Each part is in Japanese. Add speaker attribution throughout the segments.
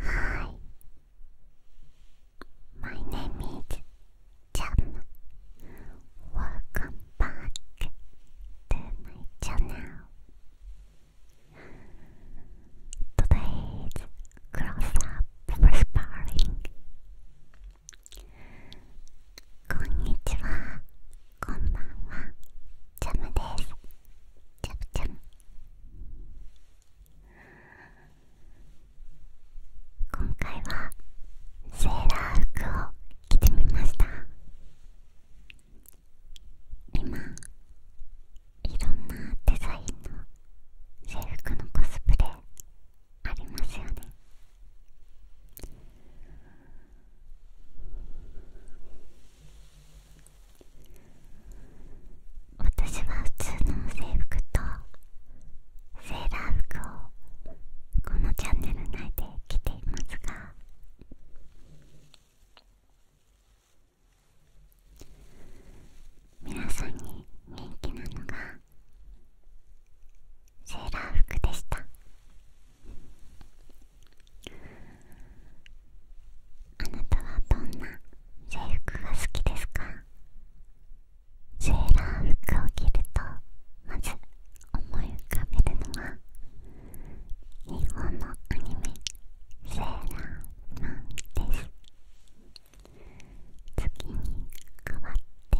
Speaker 1: Hi, my name is Jam. Welcome back to my channel. Today's cross up Konnichiwa, konbanwa, Jam desu. Jam 今回はセーラー服を着てみました今いろんなデザインの制服のコスプレありますよね私は普通の制服とセーラー服をこのチャンネル内で着ていますが皆さんに人気なのがセーラー服でしたあなたはどんな制服が好きですかセーラー服を着るとまず思い浮かべるのは日本のアニメ「セーラーなんです月に変わって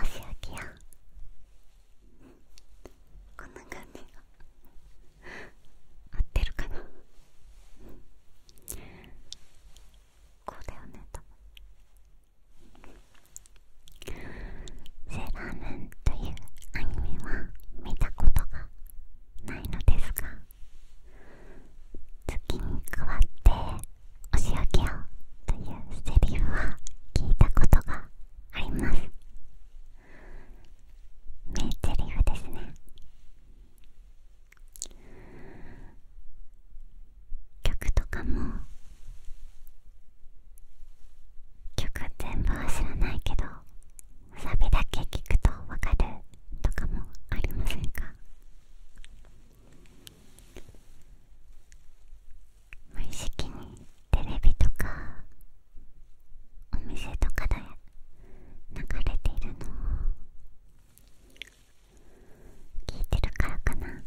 Speaker 1: お仕置きをこのな感合ってるかなこうだよねと分「セラームン」というアニメは見たことがないのですが月に代わって「お仕置きを」というセリフは聞いたことがあります名セリフですね曲とかも曲全部は知らないけどサビだけ聞くとわかるとかもありませんか無意識にテレビとかお店とかで流れているのを聞いてるからかなくくく…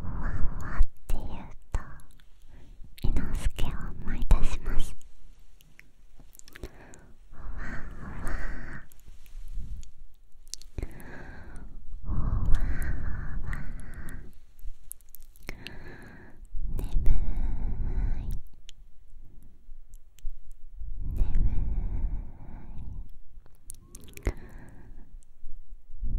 Speaker 1: ふわふわって言うと伊之助を思い出しますふわふわふわふわ眠い眠い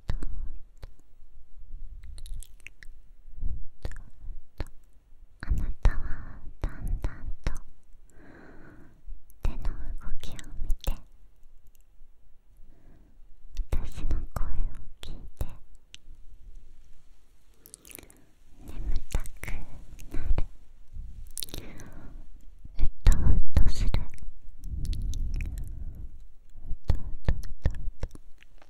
Speaker 1: あなたはだんだんと手の動きを見て私の声を聞いて眠たくなるうとうとするうとうとうとうと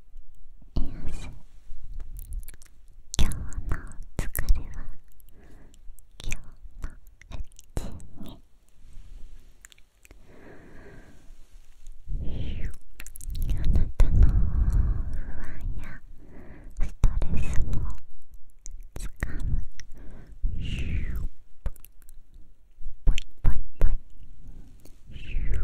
Speaker 1: よし今日の疲れは今日のうちにあなたの不安やストレスをつかむポイポイポイポイポイポイポイ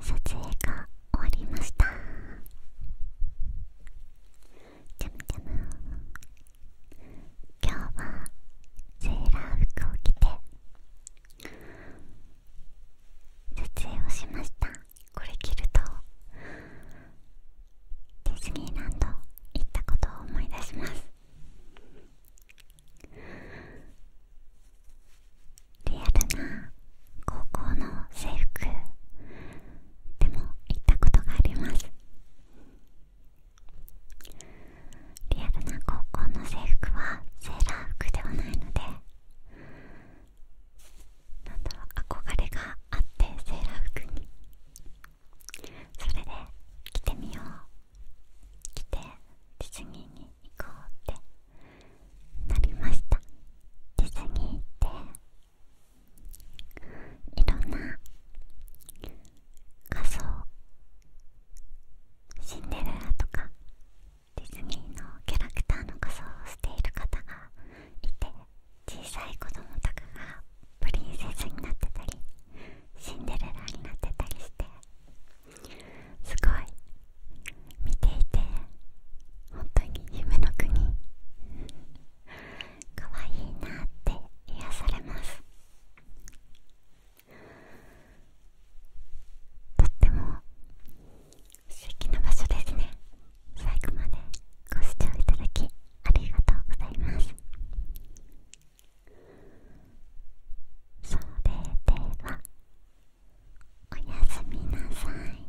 Speaker 1: 撮影が終わりましたちゃむちゃむ今日はセーラー服を着て撮影をしましたこれ着るとディズニーランド行ったことを思い出しますリアルな高校の制服でも行ったことがありますリアルな高校の制服はセーラー服ではないのでなんだ憧れがあってセーラー服にそれで着てみよう着てディズニーに行こうってなりましたディズニーっていろんな仮装？シンデレラとかディズニーのキャラクターの仮装をしている方がいて小さい子供とかがプリンセスになってたりシンデレラになってたりしてすごい見ていて本当に夢の国かわいいなって癒されますとっても素敵な場所ですね最後までご視聴いただきありがとうございますそれではおやすみなさい